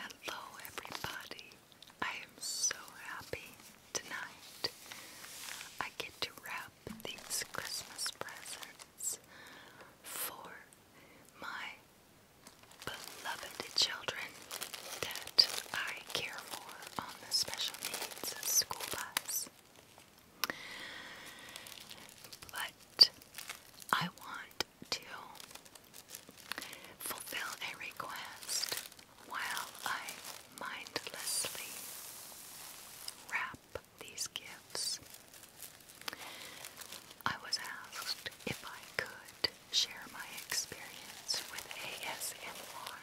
Hello, everybody. I am so happy tonight. I get to wrap these Christmas presents for my beloved children that I care for special needs school bus. But I want to fulfill a request while I mindlessly wrap these gifts. I was asked if I could share my experience with ASMR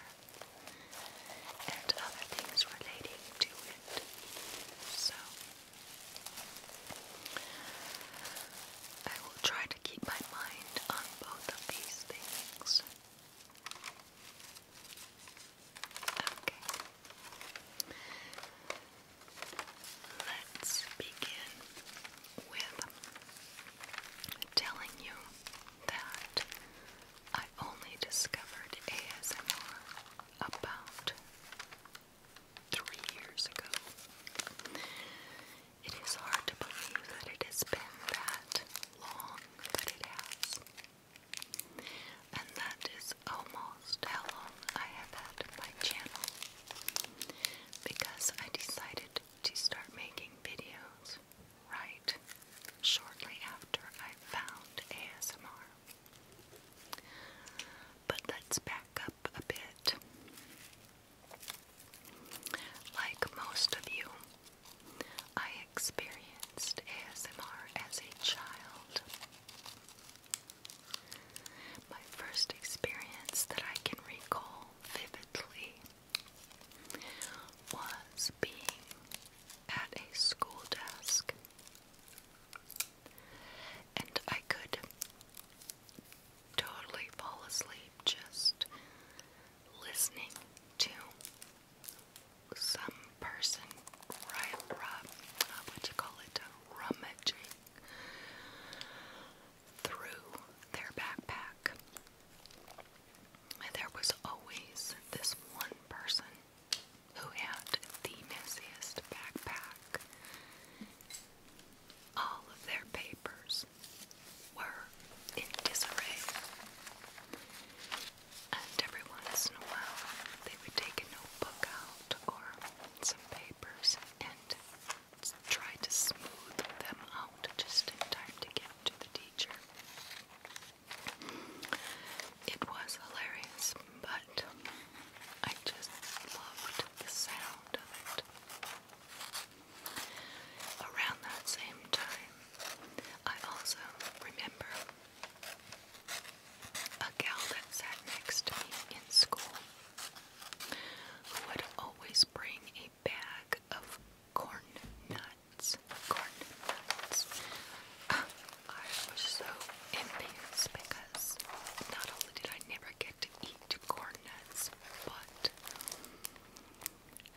and other things relating to it. So, I will try to keep my mind on both of these things. Okay. Let's begin with telling you that I only discovered ASMR about three years ago. It is hard to believe that it has been that long that it has. And that is almost how long I have had my channel. Because I decided to start making videos right shortly after I found ASMR. But let's back up a bit. Like most of you, I experienced ASMR as a child. My first experience that I can recall vividly was being at a school desk, and I could totally fall asleep just listening to some person right what do you call it rummaging through their backpack there was always this one person who had the messiest backpack. All of their papers were in disarray. And every once in a while, they would take a notebook out or some papers and try to smooth them out just in time to get to the teacher. It was hilarious, but I just loved the sound Around that same time, I also remember a gal that sat next to me in school who would always bring a bag of corn nuts. Corn nuts. Ah, I was so envious because not only did I never get to eat corn nuts, but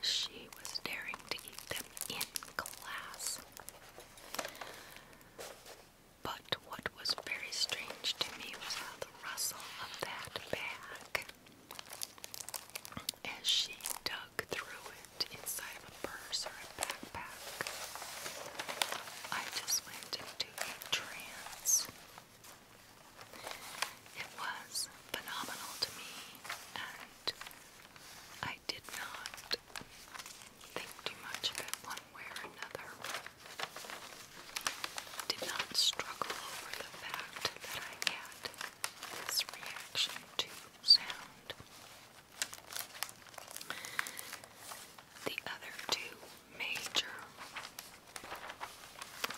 she was daring to eat them in class. But what was very strange to me was how the rustle of that bag as she dug I just went into a trance. It was phenomenal to me, and I did not think too much of one way or another. Did not struggle over the fact that I had this reaction to the other two major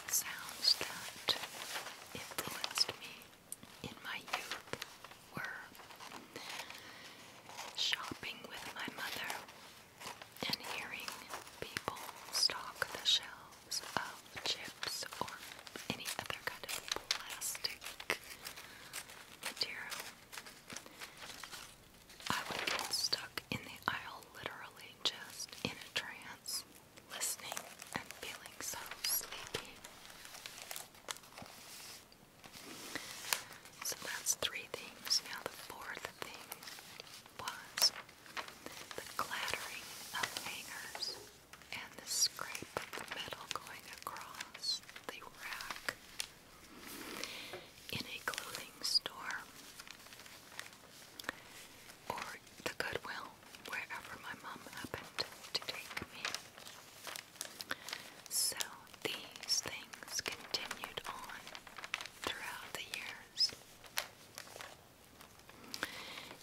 sounds that influenced me in my youth were shopping with my mother and hearing people stock the shelves of chips or any other kind of plastic material. I would have stuck in the aisle literally just in a trance, listening and feeling so sleepy. So that's three things. Now the fourth thing was the clattering of hangers and the scrape of the metal going across the rack in a clothing store or the Goodwill, wherever my mom happened to take me. So these things continued on throughout the years.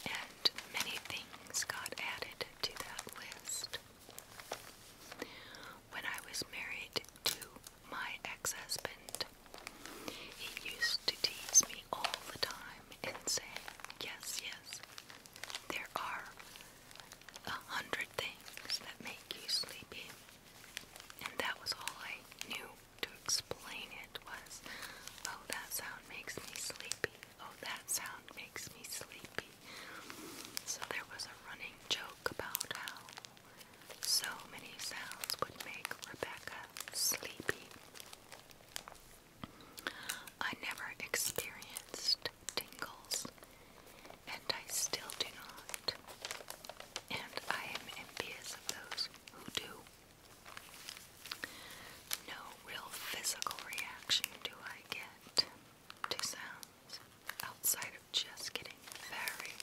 And many things got added to that list. When I was married to my ex husband, he used to tease me all the time and say, Yes, yes, there are a hundred things that make you sleepy. And that was all I knew to explain it was, Oh, that sound makes me sleepy. Oh, that sound makes me sleepy. So there was a running joke about how so many sounds would make Rebecca sleepy. I never experienced tingles, and I still do not. And I am envious of those who do. No real physical reaction do I get to sounds outside of just getting very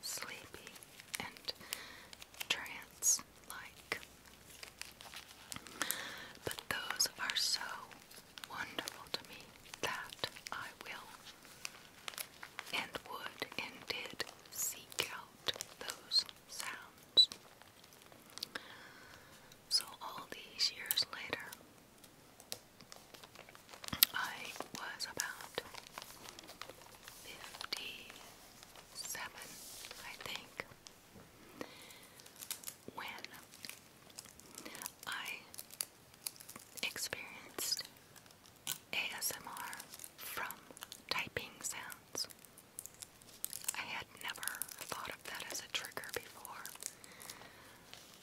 sleepy and trance like. But those are so wonderful to me that I will and would and did seek out those sounds. So, all these years later, I was about 57, I think, when I experienced ASMR from typing sounds. I had never thought of that as a trigger before,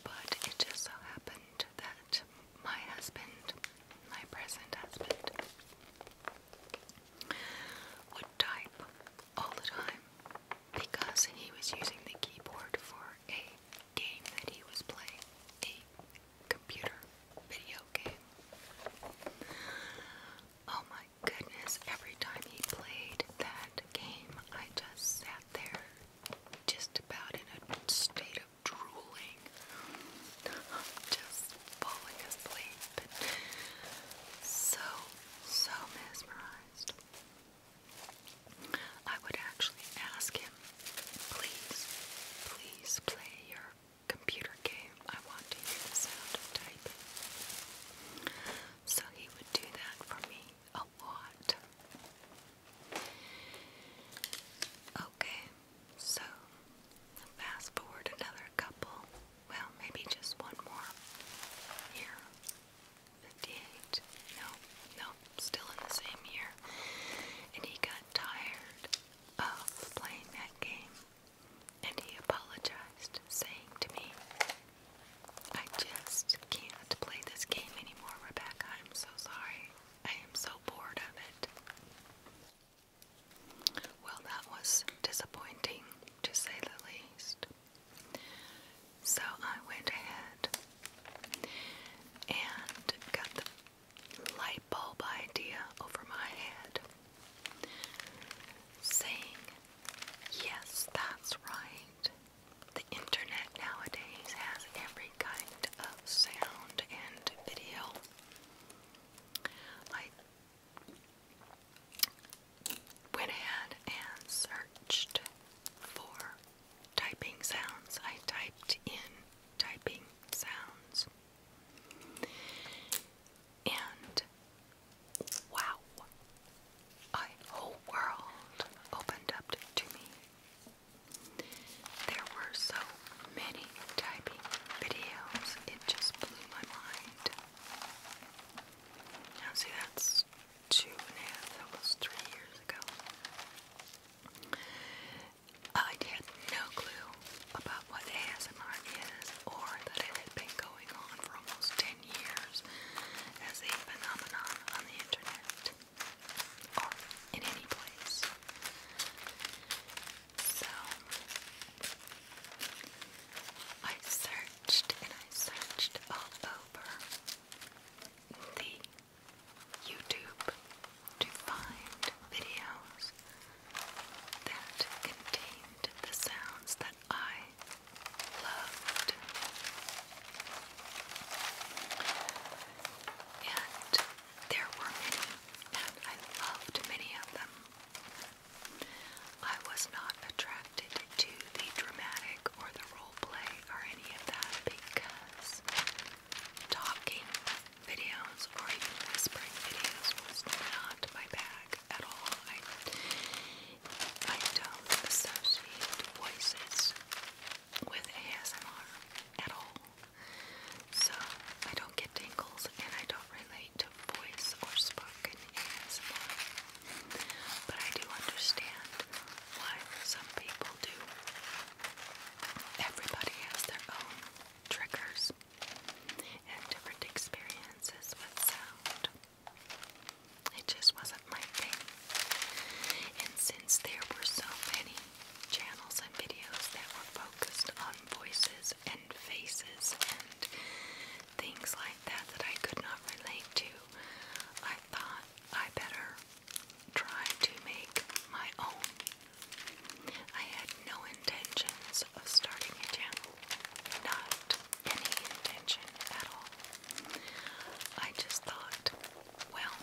but it just so happened that my husband, my present husband, would type all the time because he was using the keyboard for a game that he was playing, a computer video game. Oh my goodness, every time he played that game, I just sat there just about in a state of drooling. I'm just falling asleep. So, so mesmerized. I would actually ask him, please, please play your computer game. I want to hear the sound of typing. So he would do that for me a lot. Okay, so fast forward another couple. Well, maybe just one more. Here. 58. No, no, still in the same year. And he got tired of playing that game. And he apologized, saying to me, I just can't play this game anymore, Rebecca. I'm so sorry. I am so bored of it. Well, that was disappointing, to say the least. So I went ahead and got the light bulb idea over my head, saying Yes, that's right. The internet nowadays has every kind of sound and video. I went ahead and searched for typing sounds. I typed in typing sounds. And Wow! A whole world opened up to me. There were so many typing videos, it just blew my mind. Now, see, that's two and a half, almost three years ago. I had no clue about what ASMR is or that it had been going on for almost 10 years as a phenomenon on the internet or in any place. So I searched and I searched all over the YouTube to find videos that contained the sounds I loved. And there were many, and I loved many of them. I was not attracted to the dramatic or the role play or any of that because talking videos or even whispering videos was not my bag at all. I don't associate voices with ASMR at all. So I don't get tingles and I don't relate to voice or spoken ASMR. But I do understand why some people do. Everybody has their own triggers and different experiences with sound. It just wasn't my thing. And since there were so many channels and videos that were focused on voices and faces and things like that that I could not relate to, I thought I better try to make my own. I had no intentions of starting a channel not any intention at all. I just thought, well,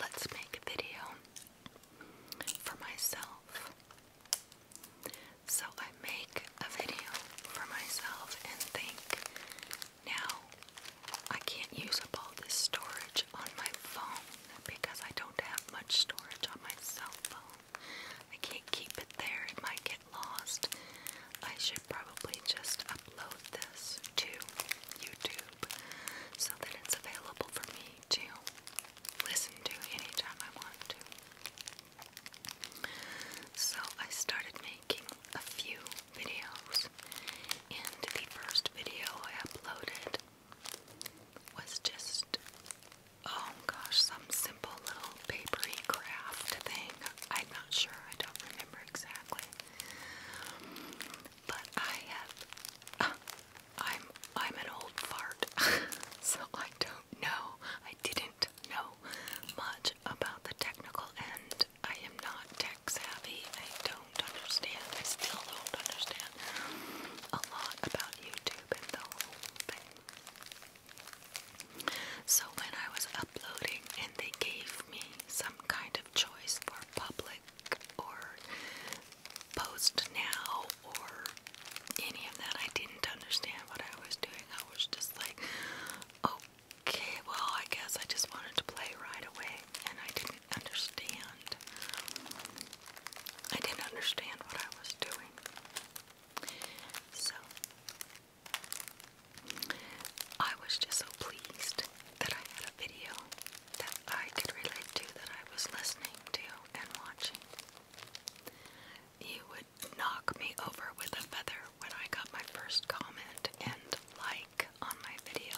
let's make a video for myself. So I make a video for myself and think, now I can't use up all this storage on my phone because I don't have much storage on my cell phone. I can't keep it there. It might lost, I should probably just upload this to YouTube so that it's available for me to listen to anytime I want to. So I started making a few videos, and the first video I uploaded was just, oh gosh, um, simple little papery craft thing. I'm not sure, I don't remember exactly. But I have I'm I'm an old fart, so I don't know. I didn't know much about the technical end. I am not tech savvy. I don't understand. I still don't understand a lot about YouTube and the whole thing. So when I was uploading and they gave me some kind of choice for public or post now or any of that, I didn't understand what I was doing. I was just like, okay, well, I guess I just wanted to play right away, and I didn't understand. I didn't understand what I was doing. So, I was just so pleased that I had a video that I could relate to, that I was listening to and watching. You would knock me over with a feather when I got my first comment and like on my video.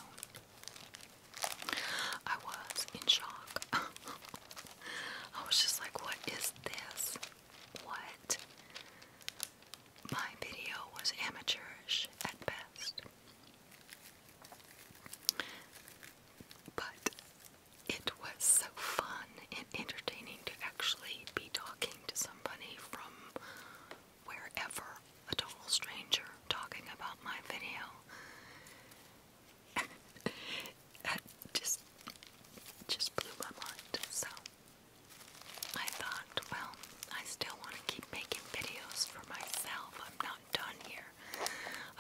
I was in shock. I was just like, what is this? What? My video was amateurish at best. But it was so fun and entertaining to actually be talking to somebody from wherever, a total stranger, talking about my video. that just, just blew my mind. So, I thought, well, I still want to keep making videos for myself. I'm not done here.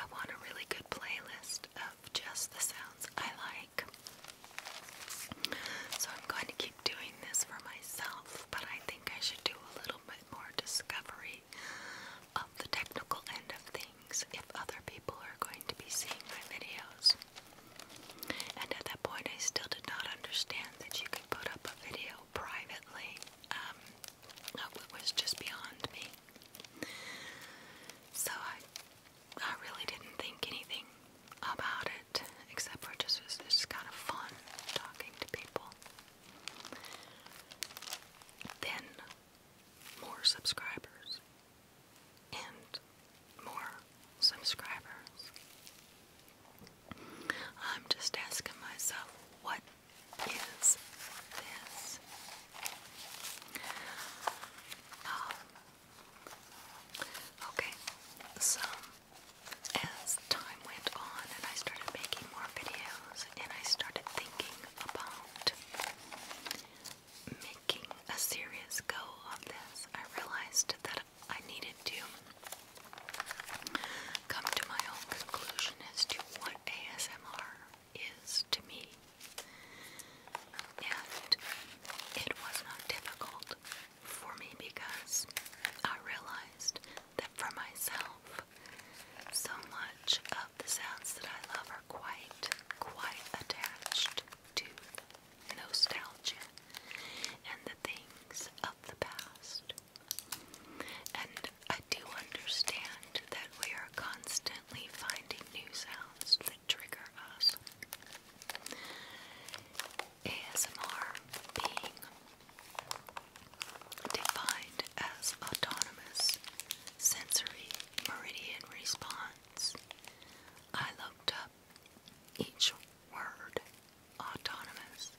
I want a really good playlist of just the sounds I like. So I'm going to keep doing this for myself, but I think I should do a little bit more discovery of the technical end of things if other people are going to be seeing my videos. And at that point, I still did not understand that you could put up a video privately. Um, it was just beyond me. So I, I really didn't think anything about it, except for just was just kind of fun talking to people. Then more subscribers, and more subscribers. I'm just asking myself, what is this? Um, okay, so as time went on and I started making more videos and I started thinking about making a serious go of this, I realized that I needed to come to my own conclusion as to what ASMR is to me. And it was not difficult for me because I realized that for myself, so much of the sounds that I love are quite, quite attached tooth nostalgia and the things of the past. And I do understand that we are constantly finding new sounds that trigger us. ASMR being defined as autonomous sensory meridian response. I looked up each word autonomous,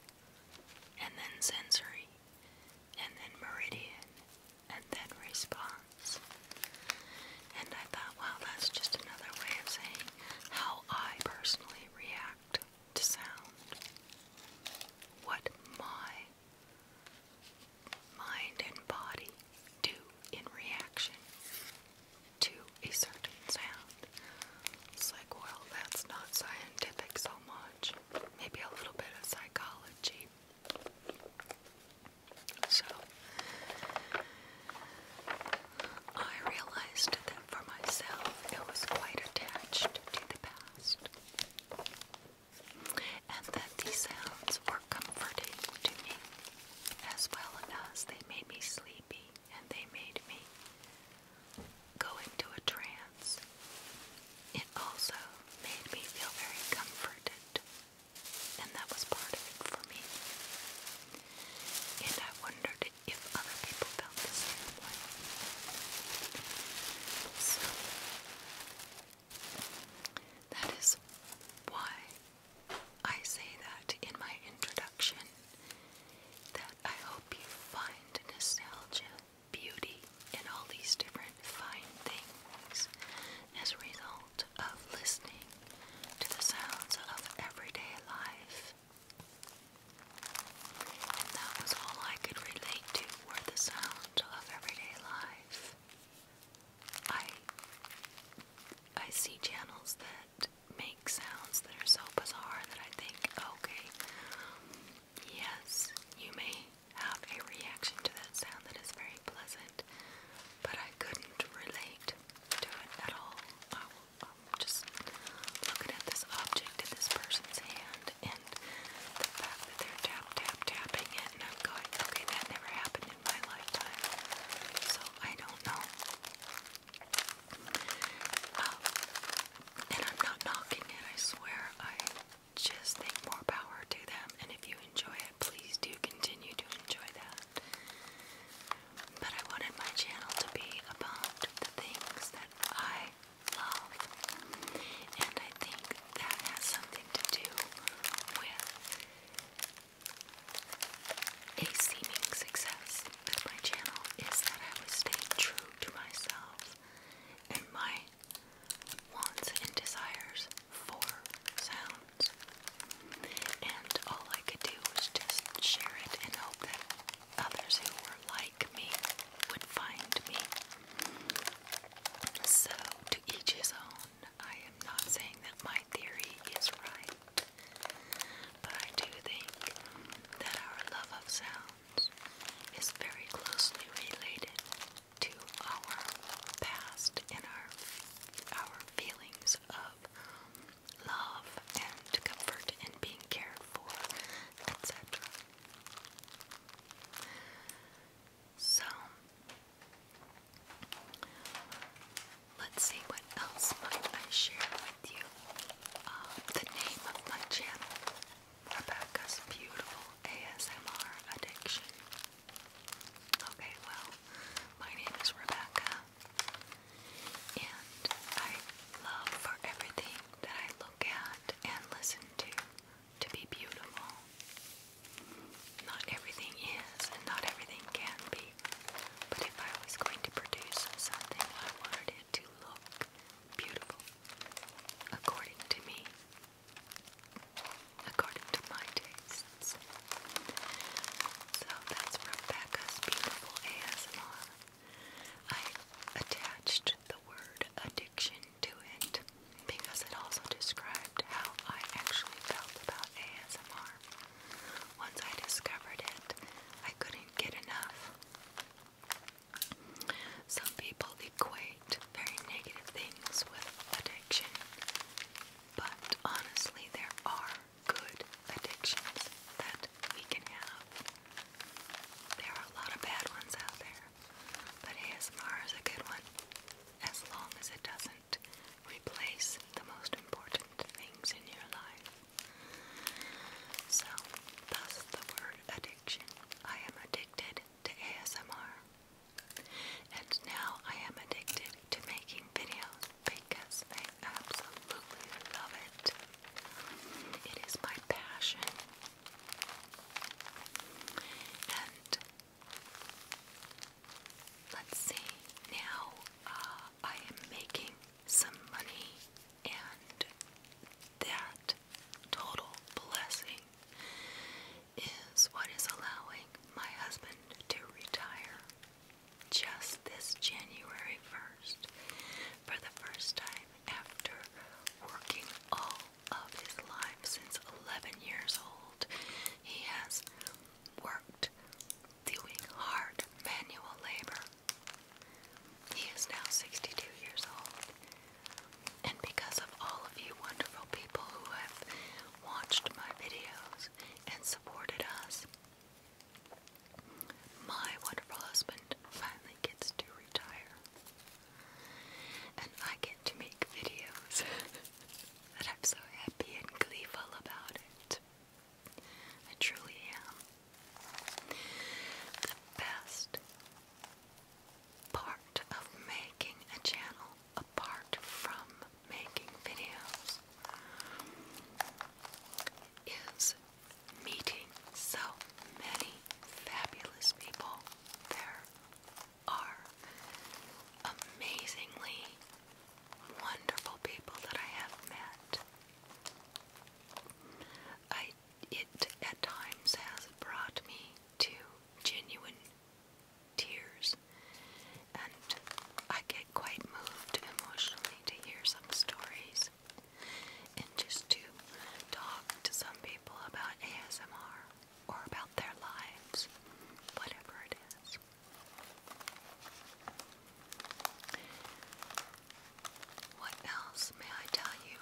and then sensory, and then meridian, and then response. And I thought, well, that's just another way of saying how I personally react to sound. What my mind and body do in reaction to a certain sound. It's like, well, that's not scientific so much. Maybe a little bit of psychology. So, I realized that for myself it was quite attached to the past, and that these sounds were comforting to me, as well as they made me sleepy and they made me go into a trance. It also made me feel very comforted, and that was part of it for me. And I wondered if other people felt the same way. So, that is why I say that in my introduction that I hope you find nostalgia, beauty, and all these different fine things as a result of listening to the sounds of everyday life. And that was all I could relate to were the sounds of everyday life. I I see channels that make sounds that are so bizarre that I think, okay, yes, you may have a reaction to that sound that is very pleasant, but I couldn't relate to it at all. I will, I'm just looking at this object in this person's hand and the fact that they're tap, tap, tapping it, and I'm going, okay, that never happened in my lifetime. So I don't know. Um, and I'm not knocking it, I swear. I just think more power to them. And if you enjoy it, please do continue to enjoy that. But I wanted my channel to be about the things that I love. And I think that has something to do with a seeming success of my channel is that I was staying true to myself and my wants and desires for sounds. And all I could do was just share it and hope that others who were like me would find me. So, to each his own. I am not saying that my theory is right, but I do think that our love of sounds is very closely related to our past and our our feelings of love and comfort and being cared for, etc. So let's see what else might I share with you. Um, the name of my channel, Rebecca's Beautiful ASMR Addiction. Okay, well, my name is Rebecca, and I love for everything that I look at and listen to to be beautiful. Not everything is, and not everything can be. But if I was going to produce something, I wanted it to look beautiful, according to me, according to my tastes. So that's Rebecca's Beautiful ASMR. I attached the word addiction to it because it also described how I actually felt about ASMR. Once I discovered it, I couldn't get enough. Some people equate very negative things with addiction, but honestly, there are good addictions that we can have. There are a lot of bad ones out there, but ASMR is a good one as long as it doesn't replace the most important things in your life. So, thus the word addiction. I am addicted to ASMR. And now I am addicted to making videos because I absolutely love it. It is my passion. And let's see, now uh, I am making some money, and that total blessing is what is allowing my husband to retire just this January 1st for the first time after working all of his life since 11 years old. He has worked doing hard manual labor he is now 62 years old. And because of all of you wonderful people who have watched my videos and supported us, my wonderful husband finally gets to retire. And I get to make videos that I'm so happy and gleeful about it. I truly am. The best part of making a channel, apart from making videos, is meeting so many fabulous people. There are amazingly wonderful people that I have met I, it at times has brought me to genuine tears, and I get quite moved emotionally to hear some stories and just to talk to some people about ASMR or about their lives, whatever it is. What else may I tell you?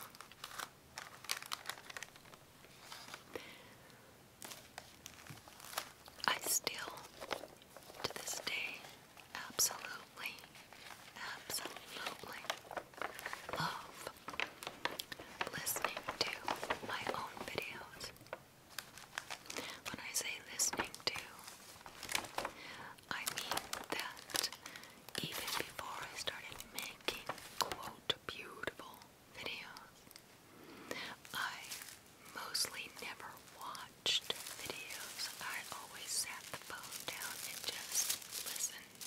I still, to this day, absolutely, absolutely love listening to my own videos. When I say listening to, I mean that even before I started making quote beautiful videos, I mostly never watched videos. I always sat the phone down and just listened.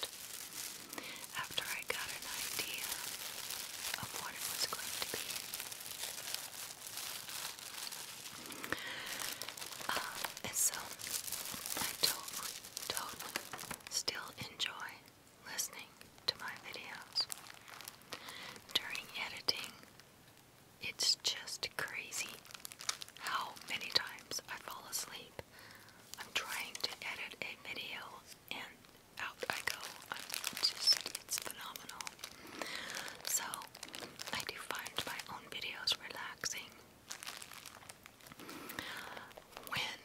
After I got an idea of what it was going to be, um, so I totally, totally still enjoy listening to my videos. During editing, it's just crazy how many times I fall asleep. I'm trying to edit a video and out I go. I'm just, it's phenomenal. So, I do find my own videos relaxing. When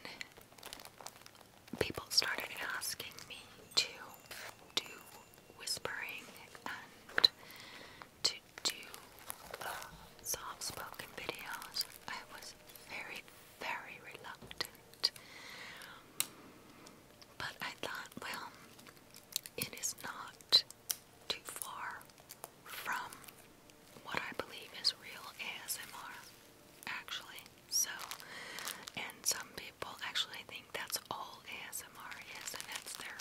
people started asking me to do whispering and to do uh, soft spoken videos, I was very, very reluctant. But I thought, well, it is not too far from what I believe is real ASMR, actually. So, and some people actually think that's all ASMR is, and that's their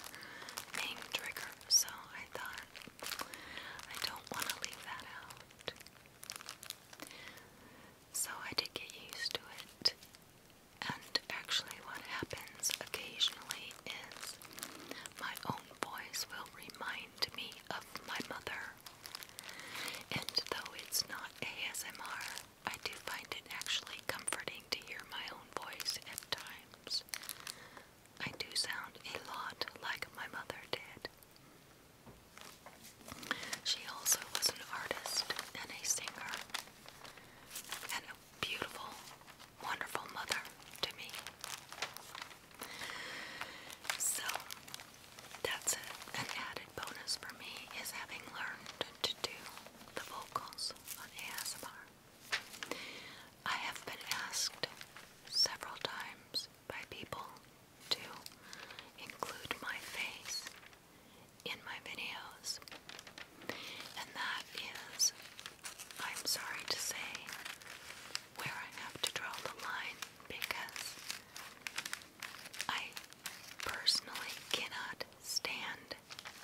main trigger. So I thought I don't want to leave that out. So I did get used to it, and actually, what happens occasionally is my own voice will remind me of my mother. And though it's not ASMR, I do find it actually comforting to hear my own voice at times. I do sound a lot like my mother did. She also was an artist and a singer and a beautiful wonderful mother to me. So that's an added bonus for me is having learned to do the vocals on ASMR. I have been asked several times by people to include my face in my videos. And that is, I'm sorry to say, where I have to draw the line because I personally cannot stand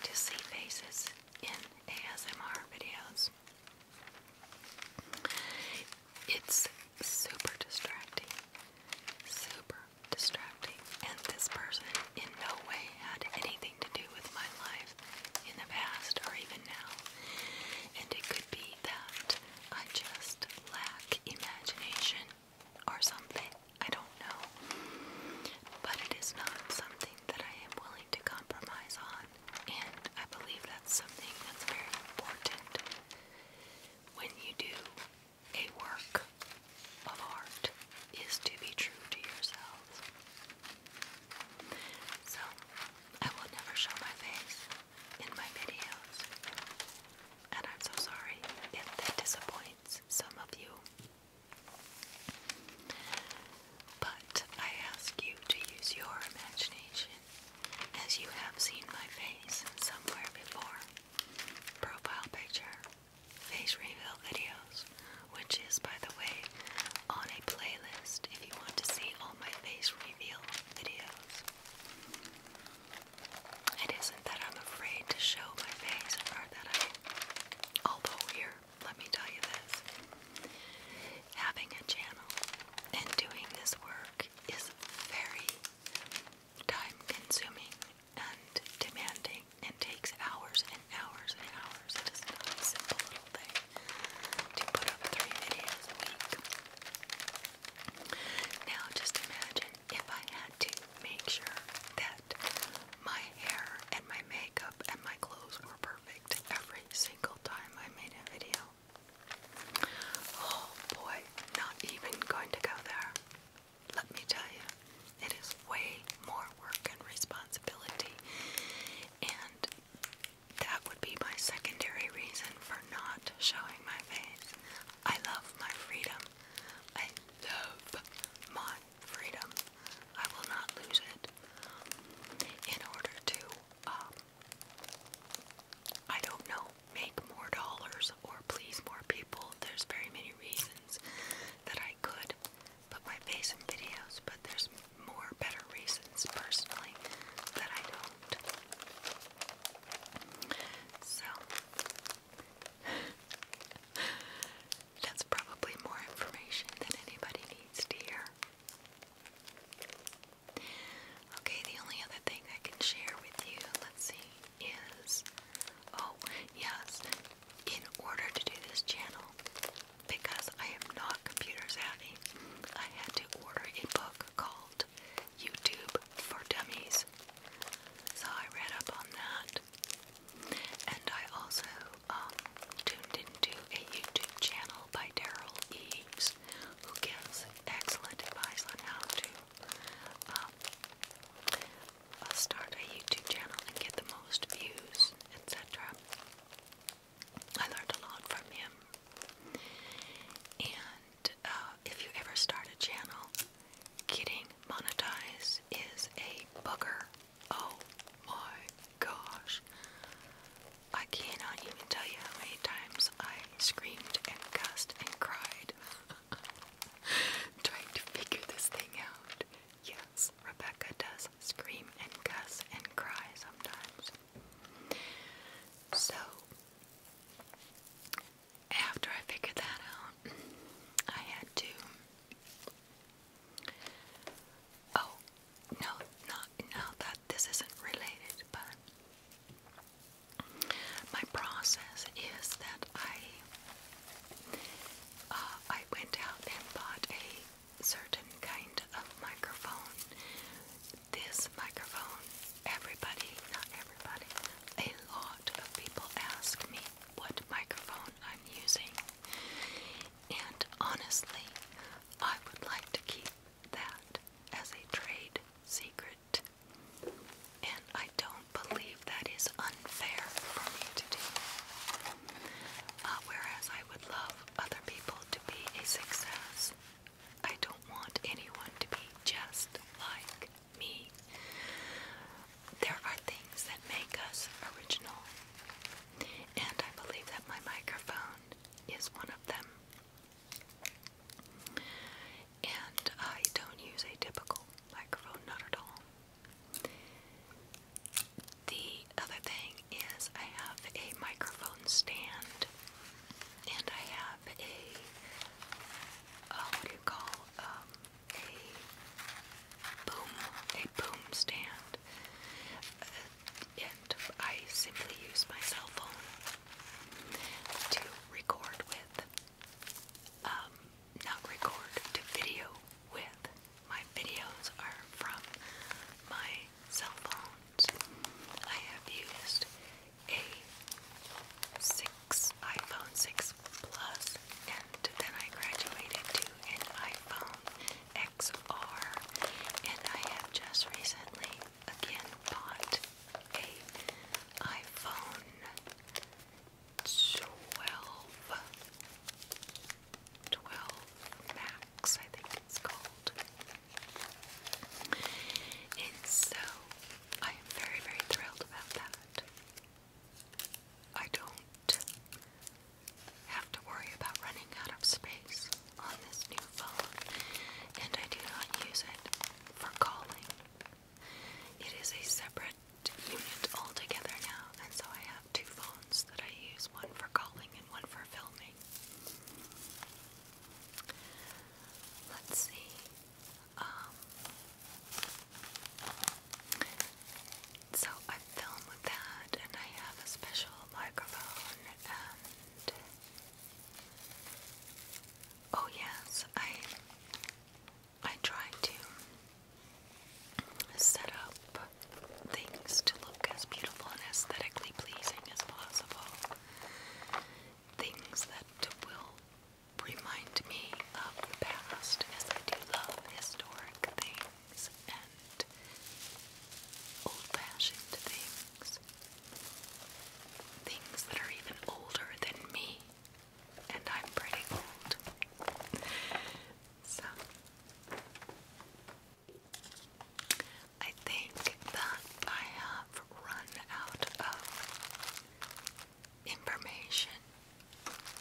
to see faces in ASMR videos. It's super distracting. Super distracting. And this person in no way had anything to do with my life in the past or even now. And it could be that I just lack imagination or something. I don't know. But it is not something that I am willing to compromise on. And I believe that's something that's very important. When you do a work of art is to be true to yourselves. So, I will never show my face in my videos. And I'm so sorry if that disappoints some of you. But I ask you to use your imagination as you have seen my face somewhere before. Profile picture, face reveal videos, videos, which is, by the way, on a playlist if you want to see all my face reveal videos. It isn't that I'm afraid to show my face or that I. Although, here, let me tell you this having a channel and doing this work is very time consuming and demanding and takes hours hours and hours. It is not a simple thing to put up three videos a week. Now, just imagine if I had to make sure that my hair and my makeup and my clothes were perfect every single time I made a video. Oh boy, not even going to go there. Let me tell you, it is way more work and responsibility, and that would be my secondary reason for not showing my face. I love my freedom. I love my freedom. I will not lose it. In order to, um, I don't know, make more dollars or please more people, there's very many reasons that I could put my face in videos, but there's more better reasons personally that I don't. So, that's probably more information than anybody needs to hear. Okay, the only other thing I can share with you, let's see, is oh, yes, in order to do this channel, because I am not a computer savvy, I had to order a book called YouTube for Dummies. So I read up on that. And I also um, tuned into a YouTube channel by Daryl Eves, who gives excellent advice on how to um, uh, start a YouTube channel and get the most views, etc. I learned a lot from him. And uh, if you ever start a channel, getting monetized is a booger. Oh my gosh. I cannot even tell you how many times I screamed and cussed and cried trying to figure this thing out. Yes, Rebecca does scream and cuss and cry sometimes. So, after I figured that out, I had to. Oh, no, not now that this isn't related, but my process is that I uh, I went out and bought a certain kind of microphone. This microphone, everybody, not everybody, a lot of people ask me what microphone I'm using. And honestly, I would like to keep that as a trade secret. And I don't believe that is unfair for me to do. Uh, whereas I would love other people to be a success, I don't want anyone to be just like me. There are things that make us original, and I believe that my microphone is one of them. And I don't use a typical microphone, not at all. The other thing is, I have a microphone stand and I have a, uh, what do you call, um, a boom, a boom stand. Uh, and I simply use my cell phone to record with, um, not record, to video with my videos are from my cell phones. I have used a 6 iPhone 6 Plus and then I graduated to an iPhone XR and I have just recently again bought a iPhone 12 12 I think it's called. And so I am very, very thrilled about that. I don't have to worry about running out of space on this new phone, and I do not use it for calling. It is a separate unit altogether now, and so I have two phones that I use one for calling and one for filming. Let's see. Um, so I film with that, and I have a special microphone. And oh yes, I I try to set up things to look as beautiful and aesthetically pleasing as possible. Things that will remind me of the past, as I do love historic things and old fashioned things. Things that are even older than me, and I'm pretty old. So, I think that I have run out of information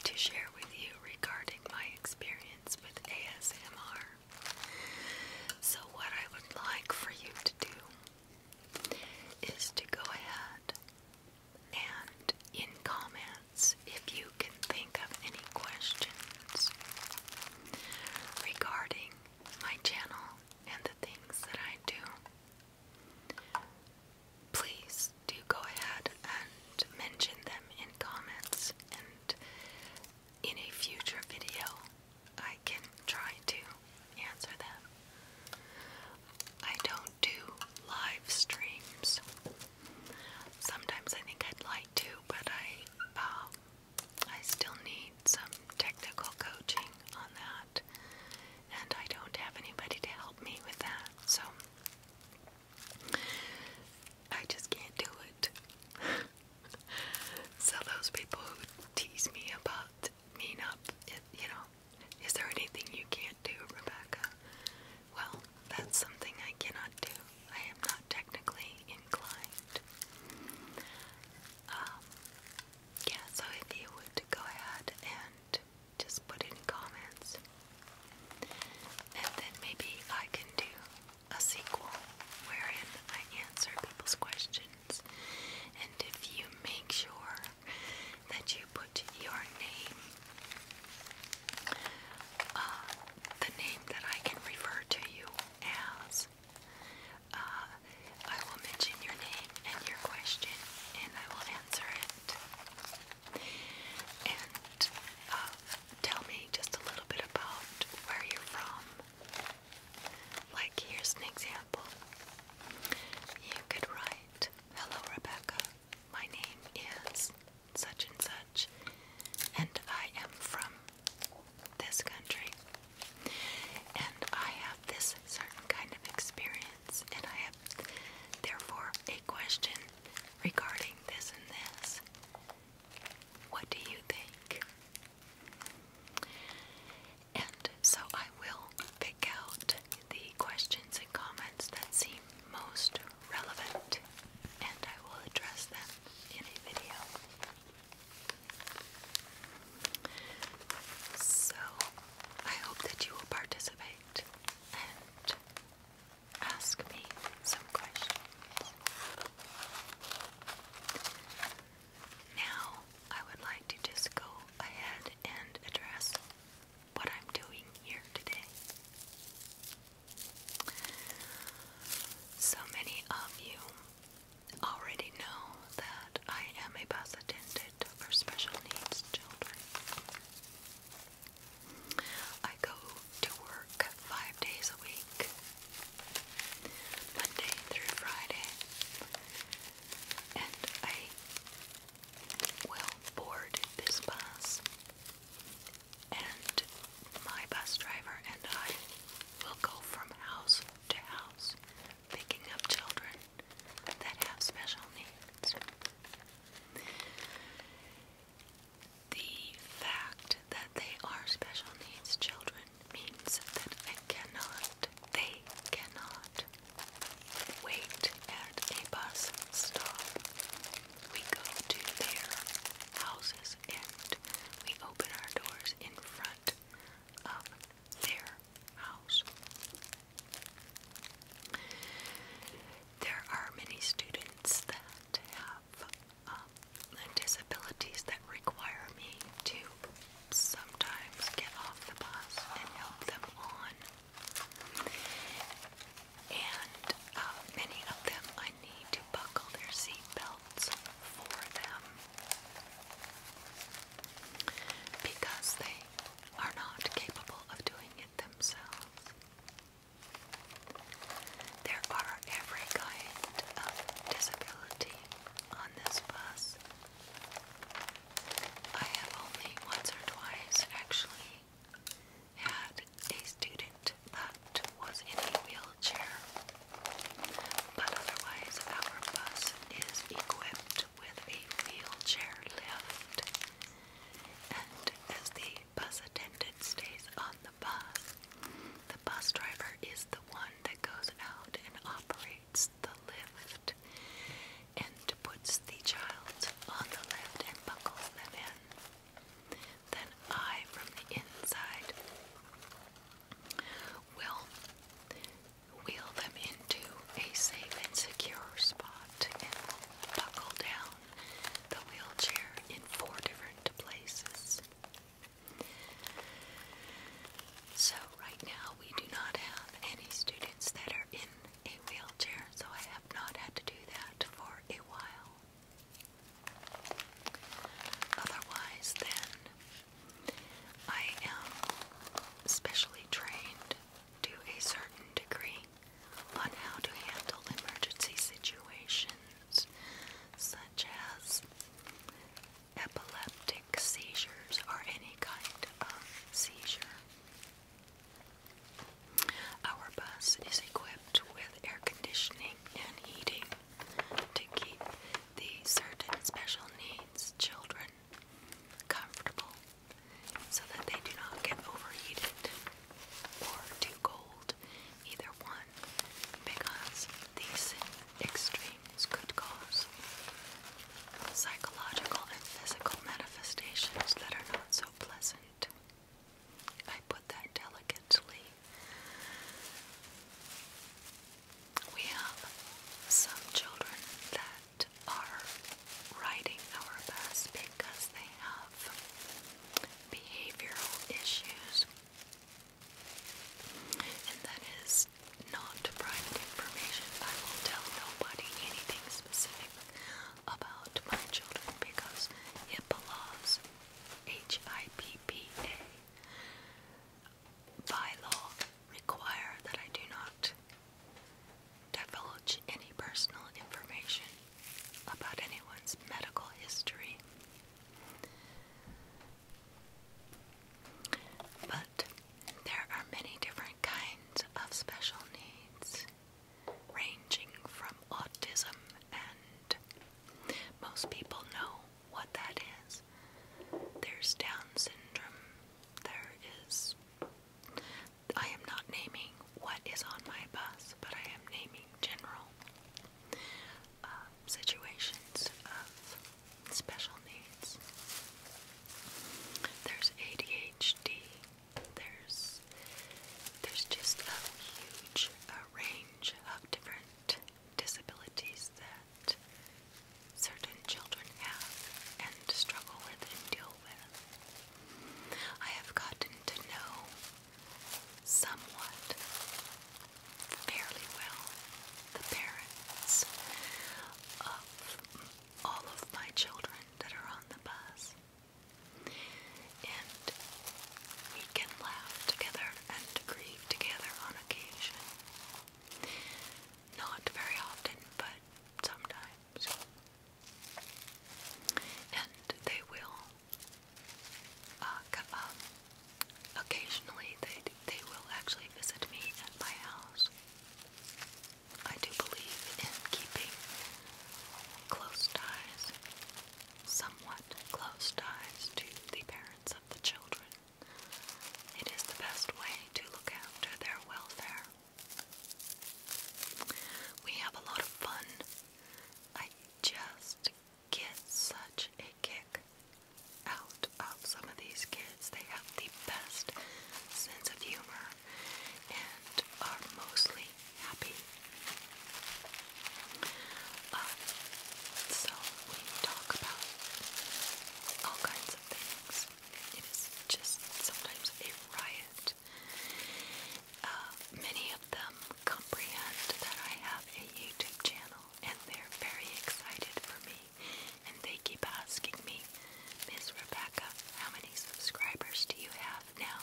to share with you regarding my experience with ASMR. So, what I would like for you to do is to go ahead and in comments, if you can think of any questions regarding my channel and the things that I do, please do go ahead and mention them in comments, and in a future video, I can try to answer them. I don't do live streams. Sometimes I think I'd like to, but I um, I still need some technical coaching on that, and I don't have anybody to help me with that, so I just can't do it. so, those people who tease me about me not, you know, is there anything you can't do, Rebecca? Well, that's something I cannot do. I am not technically inclined. Um, yeah, so if you would go ahead and just put in comments, and then maybe I can do a sequel wherein I answer people's questions. And if you make sure that you put your name, uh, the name that I can refer to you as. Uh, I will mention your name and your question, and I will answer it. And uh, tell me just a little bit about where you're from. Like, here's an example. You could write, Hello, Rebecca. My name is such and such, and I am from this country. And I have this certain kind of experience, and I have therefore a question regarding this and this. What do you think? And so I will pick out the questions and comments that seem most relevant, and I will address them in a video. So, I hope that you will participate and ask me some questions. Now, I would like to just go ahead and address what I'm doing here today. So many of you already know that I am a bus attendant for special needs children. I go to work five days a week, Monday through Friday, and I will board this bus and my bus driver and I will go from house to house picking up children that have special needs. The fact that they are special needs children means that I cannot, they cannot wait at a bus stop. We go to their houses and we open our doors in front of their house. There are many students that have um, disabilities that require me to sometimes get off the bus and help them on. And uh, many of them need to buckle their seat for them because they are not capable of doing it themselves. There are every kind of disability on this bus. I have only once or twice actually had a student that was in a wheelchair. But otherwise, our bus is equipped with a wheelchair lift. And as the bus attendant stays on the bus, the bus driver is the one that goes out and operates the lift and puts the child on the lift and buckles them in. Then I, from the inside, will wheel them into a safe and secure spot and buckle down the wheelchair in four different places. So, right now we do not have any students that are in a wheelchair, so I have not had to do that for a while. Otherwise, then, I am specially trained to a certain degree on how to handle emergency situations such as epileptic seizures or any kind of seizure. Our bus is equipped with air conditioning and heating, to keep the certain special needs children comfortable so that they do not get overheated or too cold, either one, because these extremes could cause psychological and physical manifestations that are not so pleasant. I put that delicately we have some children that are writing our best because they have behavioral issues, and that is not private information. I will tell nobody anything specific about my children because HIPAA laws, H I P P A, by law require that I do not divulge any personal information about anyone's medical history. But there are many different kinds of special needs, ranging from autism, and most people know what that is. There's Down syndrome. There is. I am not naming what is on my bus, but I am naming general uh, situations of special needs. There's ADHD. There's there's just a huge range of different disabilities that certain children have and struggle with and deal with. I have gotten to know somewhat fairly well the parents of all of my children that are on the bus. And we can laugh together and grieve together on on Not very often, but sometimes. And they will uh, Occasionally, they, they will actually visit me at my house. I do believe in keeping close ties, somewhat close ties to the parents the children. It is the best way to look after their welfare. We have a lot of fun. I just get such a kick out of some of these kids. They have the best sense of humor and are mostly happy. Um, so we talk about all kinds of things. It is just sometimes a riot. Uh, many of them comprehend that I have a YouTube channel and they're very excited for me and they keep asking me, Miss Rebecca, how many subscribers do you have now?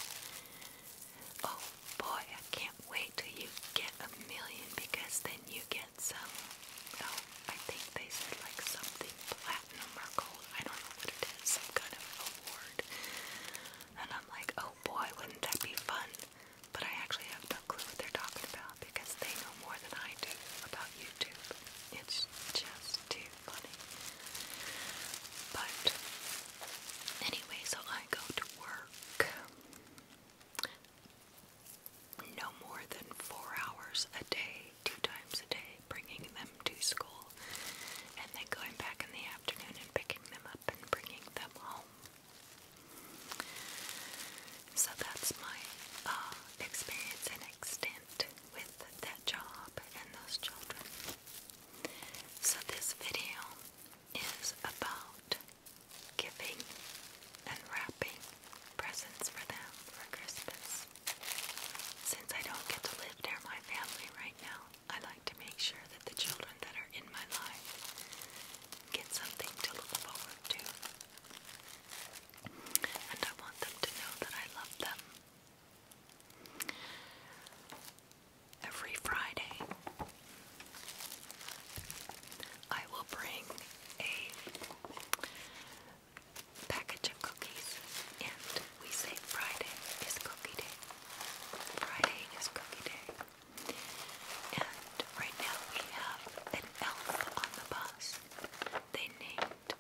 Oh boy, I can't wait till you get a million because then you get some. Oh, I think they said like something platinum or gold. I don't know what it is. Some kind of award. And I'm like, oh boy, wouldn't that be fun? But I actually have no clue what they're talking about because they know more than I do about YouTube. It's just too funny. But anyway, so I go to work no more than four hours a day, two times a day, bringing them to school and then going back in the afternoon and picking them up and bringing them home. So that's my uh, experience and extent with that job and those children. So this video is about giving and wrapping presents for them for Christmas. Since I don't get to live near my family right now, I like to make sure that the children that are in my life get something to look forward to. And I want them to know that I love them. Every Friday, I will bring a package of cookies, and we say Friday is cookie day. Friday is cookie day. And right now we have an elf on the bus. They named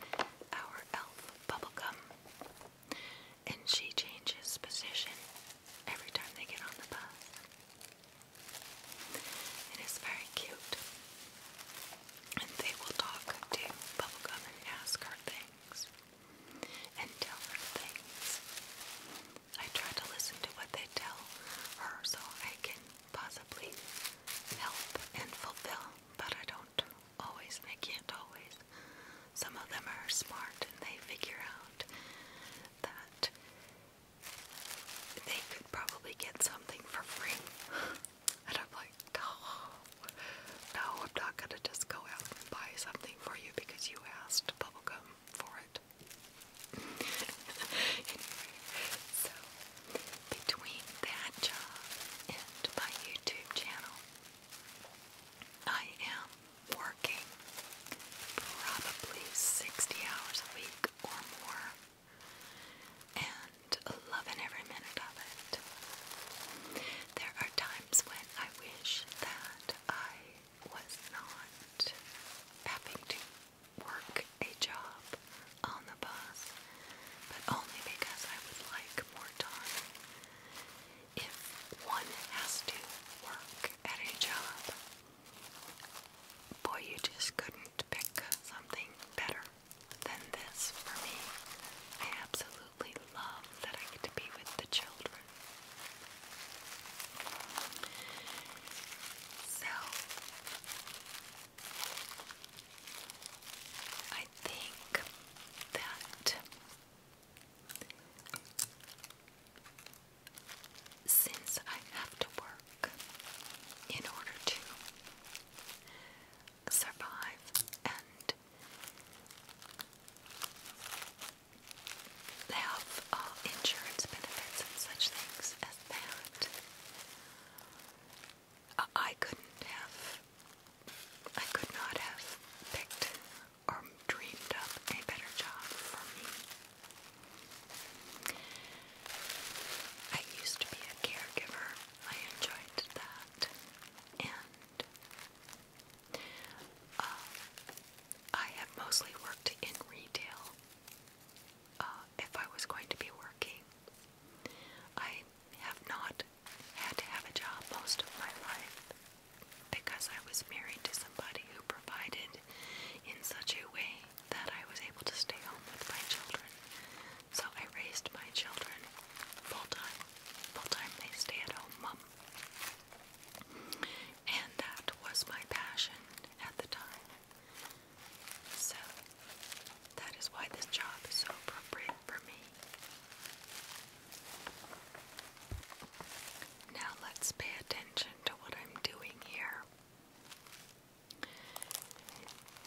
our elf Bubblegum. And she changes position every time they get on the bus. It is very cute. And they will talk to Bubblegum and ask her things and tell her things. I try to listen to what they tell her so I can possibly help and fulfill, but I don't always, I can't always. Some of them are smart and they figure out that they could probably get something for free. And I'm like, no, I'm not gonna just go out and buy something for you because you asked bubblegum for it. anyway, so between that job and my YouTube channel, I am working probably 60 hours a week and loving every minute of it. There are times when I wish that I was not having to work a job on the bus, but only because I would like more time. If one has to work at a job, Boy, you just couldn't pick something better than this for me. I absolutely love that I get to be with the children. So, I think that since I have to work in order to survive and have uh, insurance benefits and such things as that. I couldn't have, I could not have picked or dreamed up a better job for me. I used to be a caregiver. I enjoyed that. And uh, I have mostly worked in retail. Uh, if I was going to be working, I have not had to have a job most of my life because I was married to somebody who provided in such a way that I was able to stay home with my children. So I raised my children full-time. Full-time they stay at home mom. And that was my passion at the time. So that is why this job is so appropriate for me. Now let's pay attention to what I'm doing here.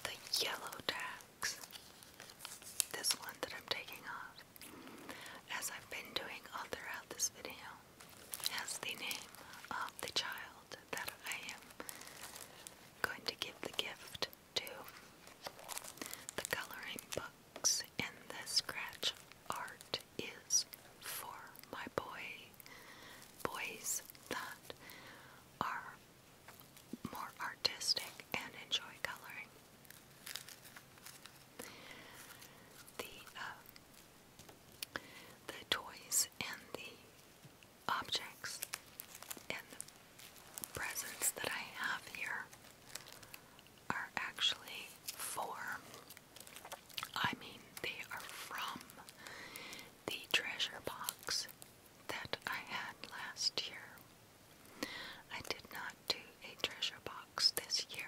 The yellow tax. this one that I'm taking off, as I've been doing all throughout this video, as the name of the child that I am going to give the gift to. The coloring books and the scratch art is for my boy boys that are more artistic and enjoy coloring. The uh, the toys and the objects and presents that I have here are actually for I mean, they are from the treasure box that I had last year. I did not do a treasure box this year.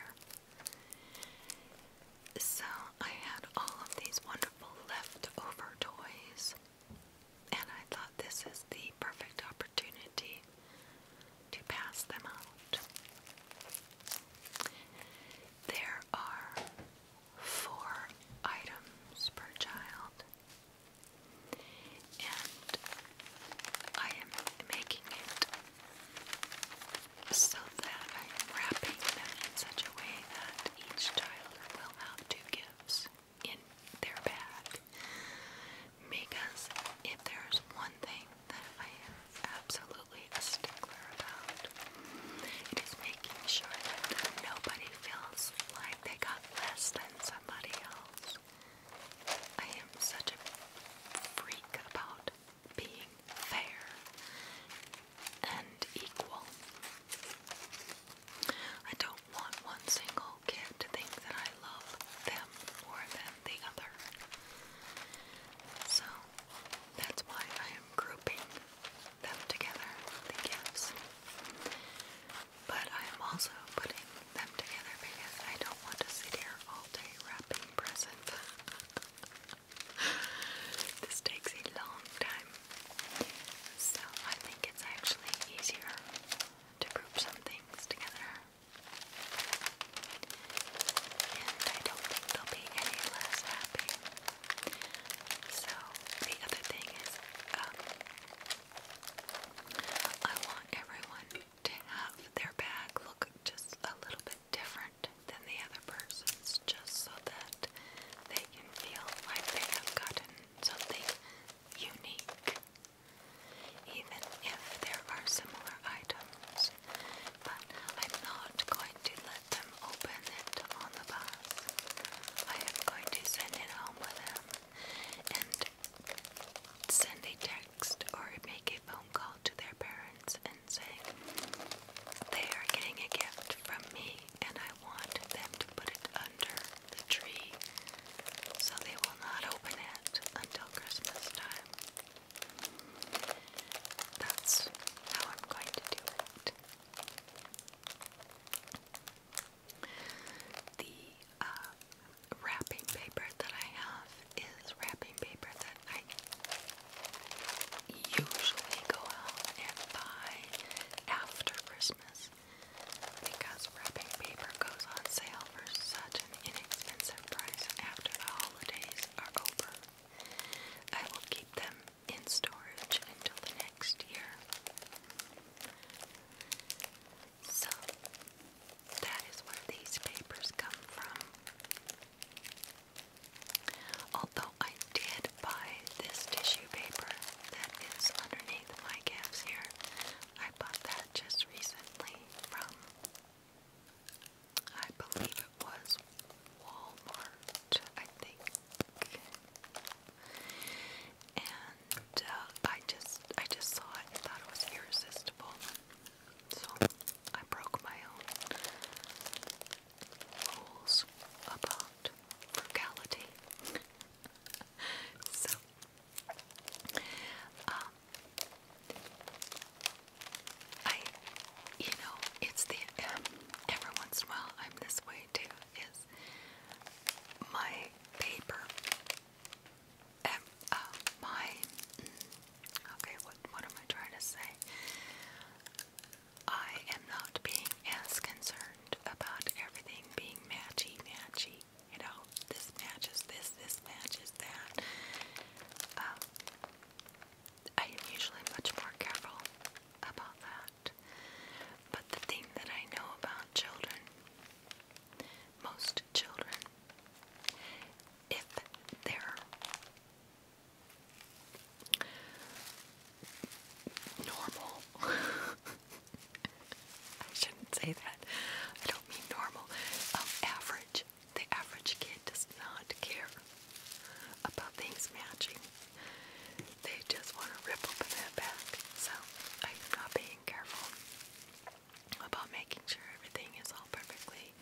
So I had all of these wonderful leftover toys, and I thought this is the perfect opportunity to pass them out. There are four items per child. And I am making it so that I am wrapping them in such a way that each child will have two gifts in their bag. Because if there's one thing that I am absolutely absolutely a stickler about. It is making sure that nobody feels like they got less than somebody else. I am such a freak about being fair and equal. I don't want one single kid to think that I love them more than the other. So that's why I am grouping them together, the gifts. But I am also putting them together because I don't want to sit here all day wrapping presents. this takes a long time. So I think it's actually easier to group some things together. And I don't think they'll be any less happy so the other thing is, um, I want everyone to have their bag look just a little bit different than the other person's, just so that they can feel like they have gotten something unique. Even if there are similar items, but I'm not going to let them open it on the bus. I am going to send it home with them and send a text or make a phone call to their parents and say they are getting a gift from me and I want them to put it under the tree so they will not open it until Christmas time. That's how I'm going to do it. The uh, wrapping paper that I have is wrapping paper that I usually go out and buy after Christmas because wrapping paper goes on sale for such an inexpensive price after the holidays are over. I will keep them in storage until the next year. So, that is where these papers come from. Although I did buy this tissue paper that is underneath my calves here, I bought that just recently from, I believe it was Walmart, I think. And uh, I just I just saw it and thought it was irresistible. So I broke my own rules about frugality. so um I you know, it's the um, every once in a while I'm this way too. Is my paper and um, uh, my mm, okay? What what am I trying to say? I am not being as concerned about everything being matchy matchy. You know, this matches this, this matches that. Um, I am usually much more careful about that. But the thing that I know about children, most children, if they're normal, I shouldn't say that. I don't mean normal. Um, average. The average kid does not care about things matching. They just want to rip open that back. So I'm not being careful about making sure everything is all perfectly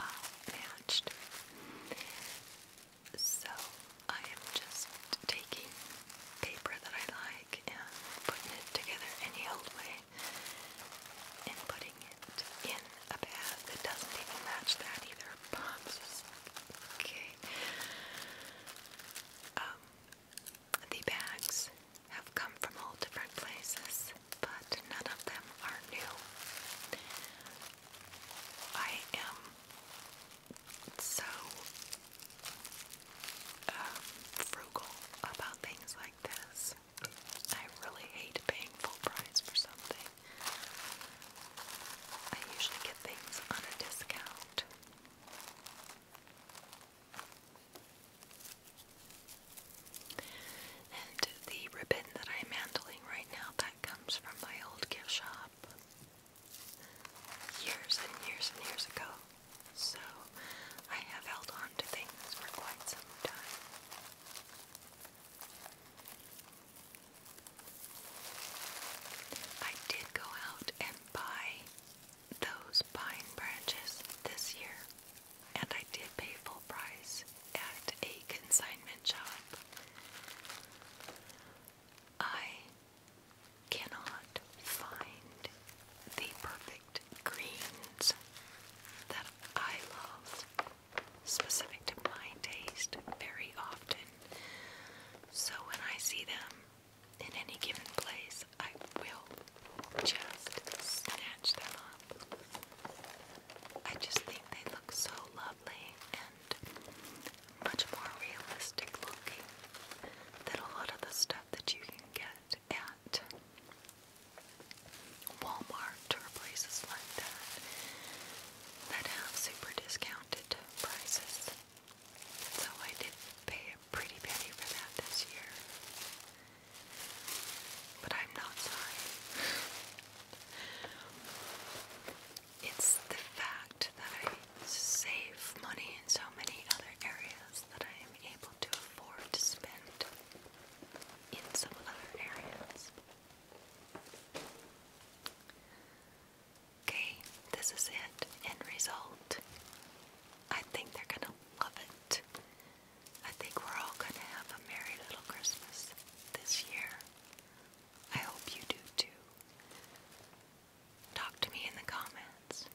uh, matched. So I am just taking paper that I like putting it together any old way and putting it in a bag that doesn't even match that either. i Okay. Um, the bags have come from all different places, but none of them are new. I am so um, frugal about things like this. I really hate paying full price for something. I usually get things on a discount. And the ribbon that I'm handling right now, that comes from my old gift shop years and years and years ago. So I have held on to things for quite some time. I did go out and buy those pine branches this year, and I did pay full price at a consignment shop. I cannot find the perfect greens that I love, specific to my taste, very often. So when I see them in any given place, I will just snatch them up. I just think they look so lovely and much more realistic looking than a lot of the stuff that you can get at Walmart or places like that that have super discounts prices. So I did pay a pretty penny for that this year. But I'm not sorry. it's the fact that I save money in so many other areas that I am able to afford to spend in some other areas. Okay, this is it. End result. I think they're gonna love it. I think we're all gonna have a merry little Christmas this year. I hope you do too. Talk to me in the comments.